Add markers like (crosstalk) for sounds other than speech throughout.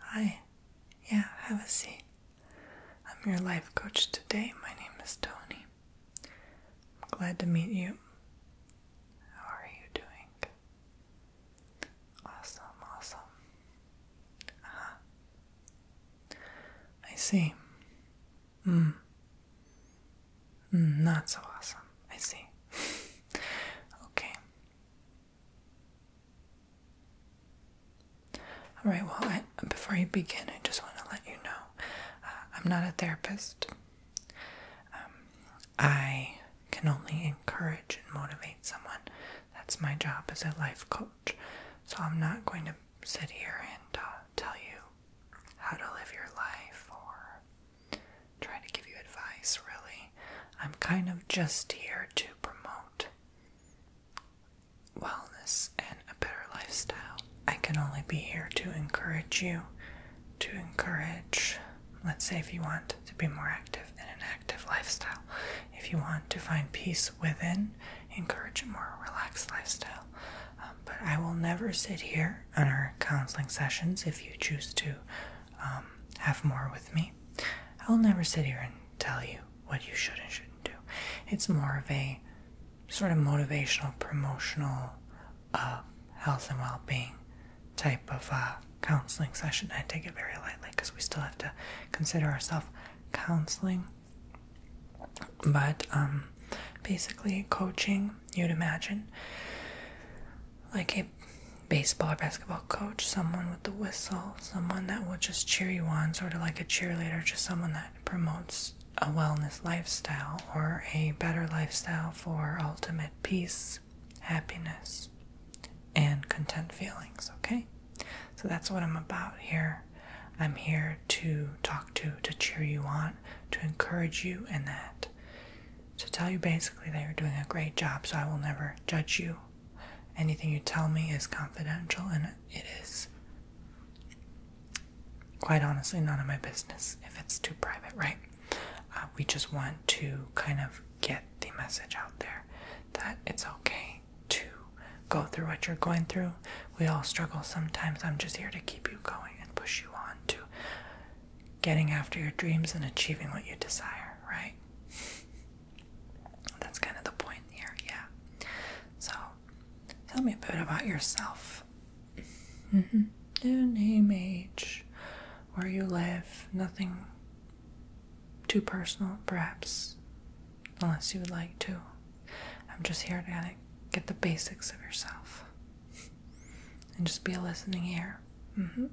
Hi, yeah, have a seat. I'm your life coach today. My name is Tony. I'm glad to meet you. How are you doing? Awesome, awesome. Uh I see. Mm. mm. Not so awesome. I see. (laughs) okay. All right, well, before you begin, I just want to let you know uh, I'm not a therapist. Um, I can only encourage and motivate someone. That's my job as a life coach. So I'm not going to sit here and uh, tell you how to live your life or trying to give you advice, really. I'm kind of just here to promote wellness and a better lifestyle. I can only be here to encourage you, to encourage, let's say, if you want to be more active in an active lifestyle, if you want to find peace within, encourage a more relaxed lifestyle. Um, but I will never sit here on our counseling sessions if you choose to um, have more with me. I'll never sit here and tell you what you should and shouldn't do. It's more of a sort of motivational, promotional, uh, health and well being type of uh, counseling session. I take it very lightly because we still have to consider ourselves counseling. But um, basically, coaching, you'd imagine, like a baseball or basketball coach, someone with a whistle, someone that will just cheer you on, sort of like a cheerleader, just someone that promotes a wellness lifestyle or a better lifestyle for ultimate peace, happiness, and content feelings. Okay, so that's what I'm about here. I'm here to talk to, to cheer you on, to encourage you in that to tell you basically that you're doing a great job, so I will never judge you. Anything you tell me is confidential, and it is quite honestly none of my business if it's too private, right? Uh, we just want to kind of get the message out there that it's okay to go through what you're going through. We all struggle sometimes. I'm just here to keep you going and push you on to getting after your dreams and achieving what you desire, right? That's kind of the point here, yeah. So, tell me a bit about yourself. Mm -hmm. Your name, age, where you live, nothing too personal, perhaps, unless you would like to. I'm just here to get the basics of yourself and just be a listening ear. Mm-hmm.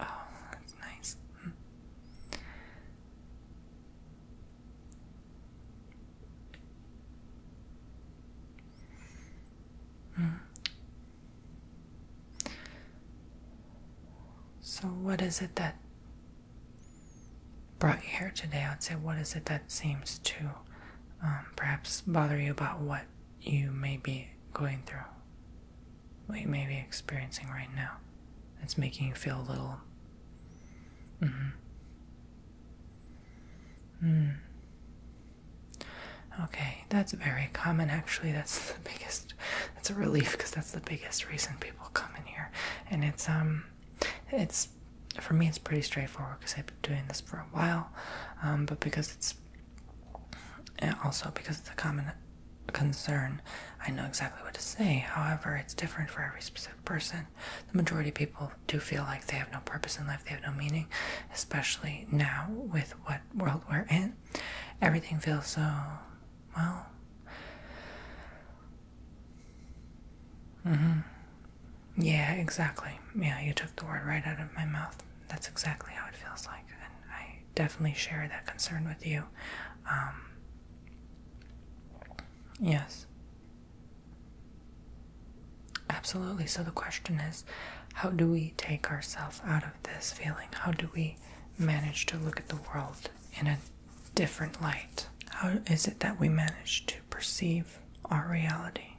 Oh, that's nice. Mm-hmm. Mm. So, what is it that brought you here today, I would say, what is it that seems to um, perhaps bother you about what you may be going through, what you may be experiencing right now? That's making you feel a little. Mm -hmm. Mm. Okay, that's very common actually. That's the biggest, that's a relief because that's the biggest reason people come in here. And it's, um, it's for me it's pretty straightforward because I've been doing this for a while, um, but because it's also because it's a common concern, I know exactly what to say. However, it's different for every specific person. The majority of people do feel like they have no purpose in life, they have no meaning, especially now with what world we're in. Everything feels so well Mm-hmm. Yeah, exactly. Yeah, you took the word right out of my mouth. That's exactly how it feels like, and I definitely share that concern with you. Um, yes. Absolutely. So the question is how do we take ourselves out of this feeling? How do we manage to look at the world in a different light? How is it that we manage to perceive our reality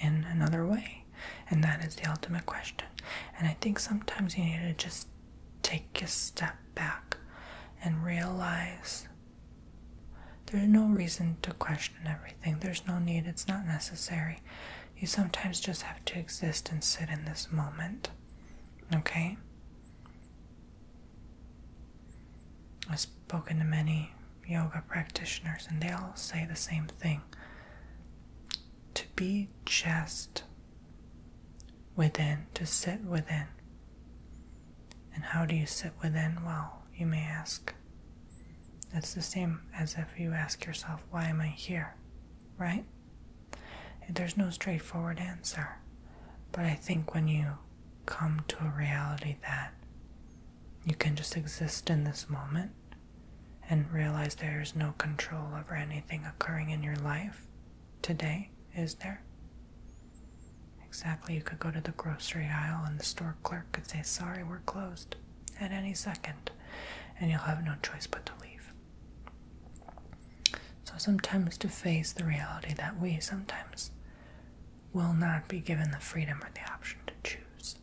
in another way? And that is the ultimate question. And I think sometimes you need to just take a step back and realize there's no reason to question everything. There's no need, it's not necessary. You sometimes just have to exist and sit in this moment. Okay? I've spoken to many yoga practitioners, and they all say the same thing to be just within, to sit within. And how do you sit within? Well, you may ask. It's the same as if you ask yourself, Why am I here? Right? There's no straightforward answer. But I think when you come to a reality that you can just exist in this moment and realize there's no control over anything occurring in your life today, is there? Exactly, you could go to the grocery aisle and the store clerk could say, Sorry, we're closed at any second, and you'll have no choice but to leave. So sometimes to face the reality that we sometimes will not be given the freedom or the option to choose.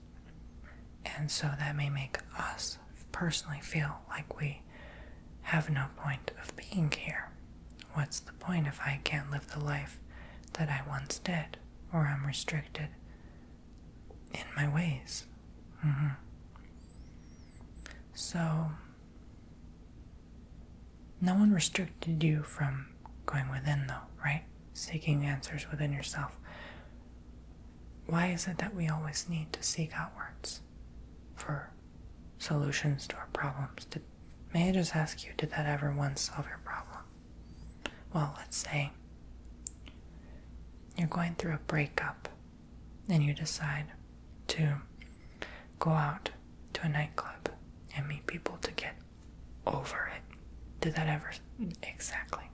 And so that may make us personally feel like we have no point of being here. What's the point if I can't live the life that I once did or I'm restricted in my ways? Mm-hmm. So, no one restricted you from going within, though, right? Seeking answers within yourself. Why is it that we always need to seek outwards for solutions to our problems? Did, may I just ask you, did that ever once solve your problem? Well, let's say you're going through a breakup and you decide to go out to a nightclub and meet people to get over it. Did that ever? Exactly.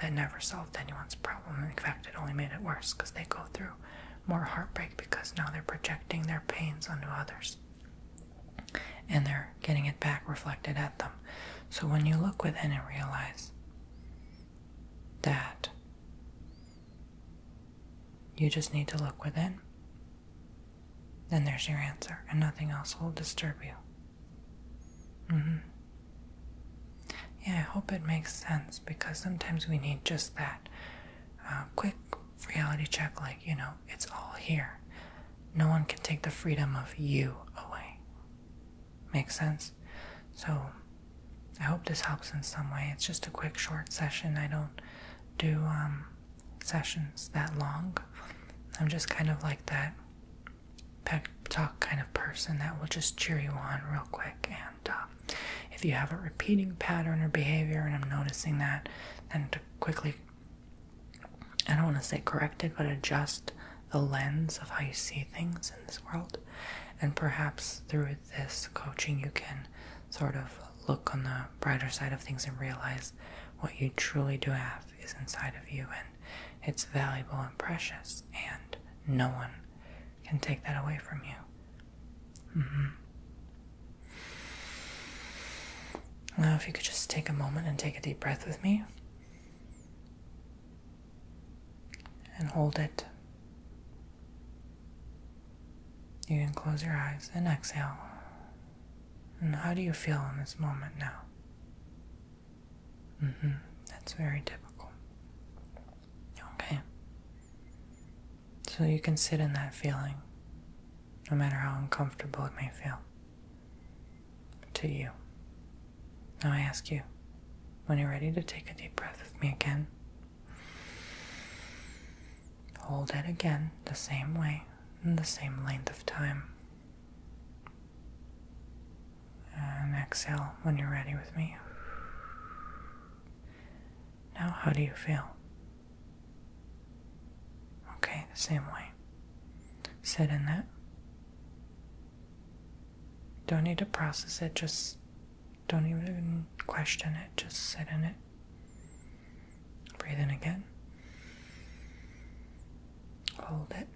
That never solved anyone's problem. In fact, it only made it worse because they go through more heartbreak because now they're projecting their pains onto others and they're getting it back reflected at them. So when you look within and realize that you just need to look within. Then there's your answer, and nothing else will disturb you. Mm-hmm. Yeah, I hope it makes sense because sometimes we need just that uh, quick reality check like, you know, it's all here. No one can take the freedom of you away. Makes sense? So I hope this helps in some way. It's just a quick, short session. I don't do um, sessions that long. I'm just kind of like that pep talk kind of person that will just cheer you on real quick. And uh, if you have a repeating pattern or behavior, and I'm noticing that, then to quickly, I don't want to say correct it, but adjust the lens of how you see things in this world. And perhaps through this coaching, you can sort of look on the brighter side of things and realize what you truly do have is inside of you and it's valuable and precious, and no one can take that away from you. Mm-hmm. Now, if you could just take a moment and take a deep breath with me and hold it you can close your eyes and exhale. And how do you feel in this moment now? Mm hmm. That's very typical. Okay. So you can sit in that feeling, no matter how uncomfortable it may feel to you. Now I ask you, when you're ready to take a deep breath with me again, Hold it again the same way in the same length of time. And exhale when you're ready with me. Now, how do you feel? Okay, the same way. Sit in that. Don't need to process it, just don't even question it, just sit in it. Breathe in again. Hold it.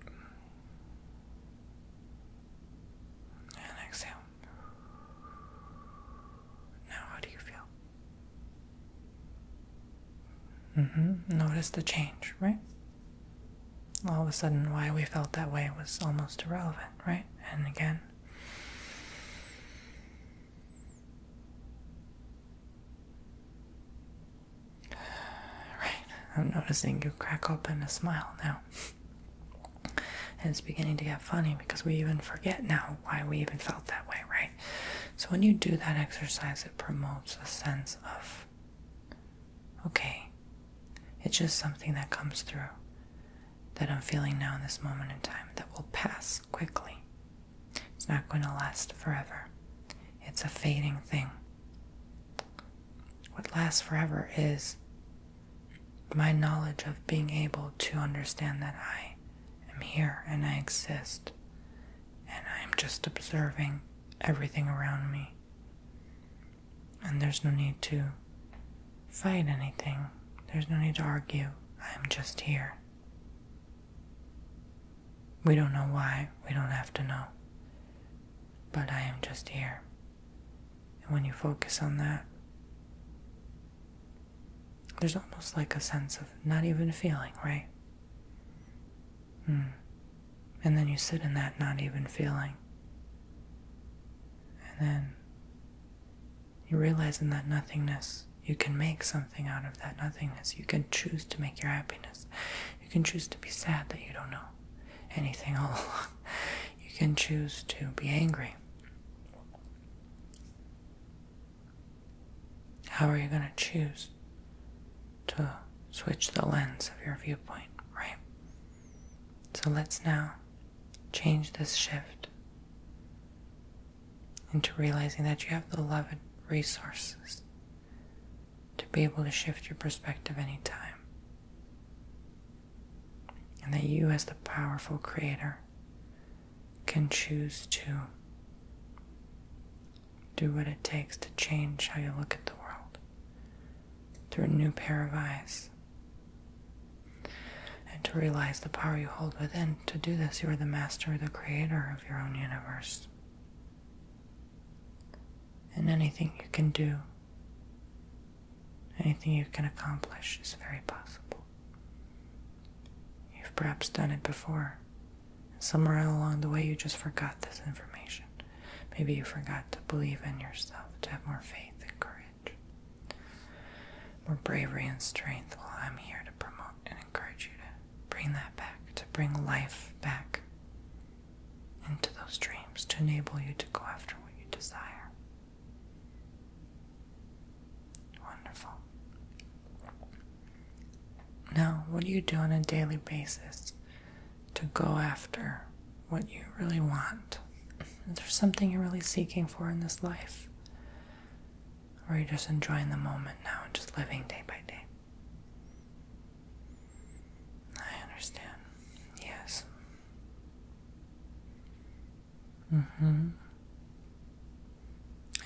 And exhale. Now, how do you feel? Mm-hmm. Notice the change, right? All of a sudden, why we felt that way was almost irrelevant, right? and again right i'm noticing you crack open a smile now and it's beginning to get funny because we even forget now why we even felt that way right so when you do that exercise it promotes a sense of okay it's just something that comes through that I'm feeling now in this moment in time that will pass quickly. It's not going to last forever. It's a fading thing. What lasts forever is my knowledge of being able to understand that I am here and I exist and I'm just observing everything around me and there's no need to fight anything, there's no need to argue. I'm just here. We don't know why, we don't have to know. But I am just here. And when you focus on that, there's almost like a sense of not even feeling, right? Hmm. And then you sit in that not even feeling. And then you realize in that nothingness, you can make something out of that nothingness. You can choose to make your happiness. You can choose to be sad that you don't know anything all along. (laughs) You can choose to be angry. How are you going to choose to switch the lens of your viewpoint, right? So let's now change this shift into realizing that you have the loving resources to be able to shift your perspective anytime. And that you, as the powerful creator, can choose to do what it takes to change how you look at the world, through a new pair of eyes. And to realize the power you hold within, to do this, you are the master, the creator of your own universe. And anything you can do, anything you can accomplish, is very possible. You've perhaps done it before, somewhere along the way you just forgot this information. Maybe you forgot to believe in yourself, to have more faith and courage, more bravery and strength. Well, I'm here to promote and encourage you to bring that back, to bring life back into those dreams, to enable you to go after what you desire. Wonderful. Now, what do you do on a daily basis to go after what you really want. is there something you're really seeking for in this life, or you're just enjoying the moment now and just living day by day. I understand. Yes. Mm-hmm.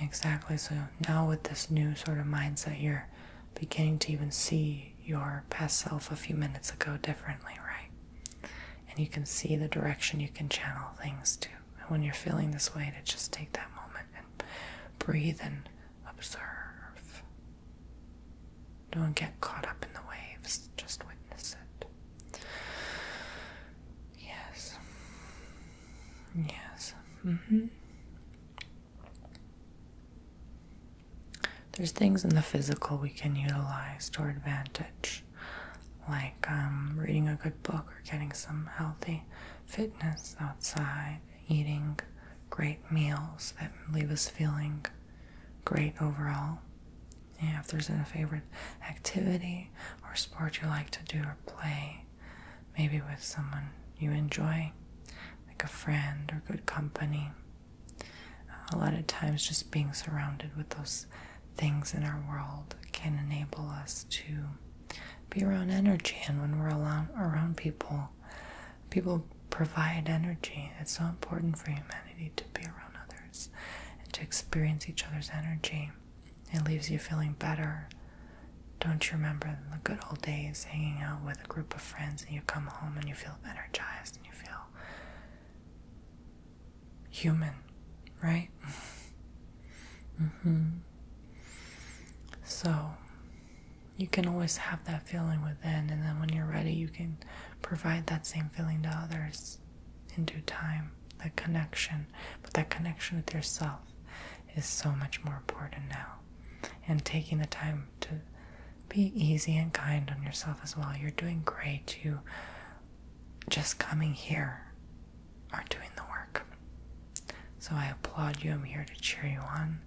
Exactly. So now with this new sort of mindset, you're beginning to even see your past self a few minutes ago differently, right? And you can see the direction you can channel things to. And when you're feeling this way, to just take that moment and breathe and observe. Don't get caught up in the waves, just witness it. Yes. Yes. Mm-hmm. There's things in the physical we can utilize to our advantage, like um, reading a good book or getting some healthy fitness outside, eating great meals that leave us feeling great overall. Yeah, if there's a favorite activity or sport you like to do or play, maybe with someone you enjoy, like a friend or good company. A lot of times, just being surrounded with those things in our world can enable us to be around energy. And when we're around people, people provide energy. It's so important for humanity to be around others and to experience each other's energy. It leaves you feeling better. Don't you remember the good old days hanging out with a group of friends and you come home and you feel energized and you feel human, right? (laughs) mm-hmm. So you can always have that feeling within, and then when you're ready, you can provide that same feeling to others in due time. That connection, but that connection with yourself is so much more important now. And taking the time to be easy and kind on yourself as well. You're doing great. You just coming here are doing the work. So I applaud you. I'm here to cheer you on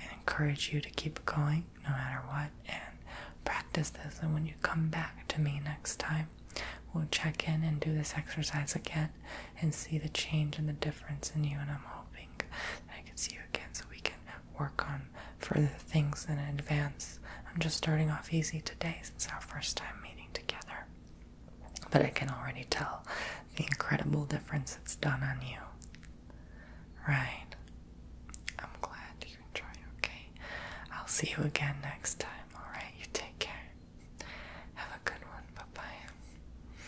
and encourage you to keep going no matter what and practice this. And when you come back to me next time, we'll check in and do this exercise again and see the change and the difference in you. And I'm hoping I can see so we can work on further things in advance. I'm just starting off easy today since our first time meeting together. But I can already tell the incredible difference it's done on you. Right. I'm glad you are trying. okay? I'll see you again next time, alright? You take care. Have a good one. Bye bye.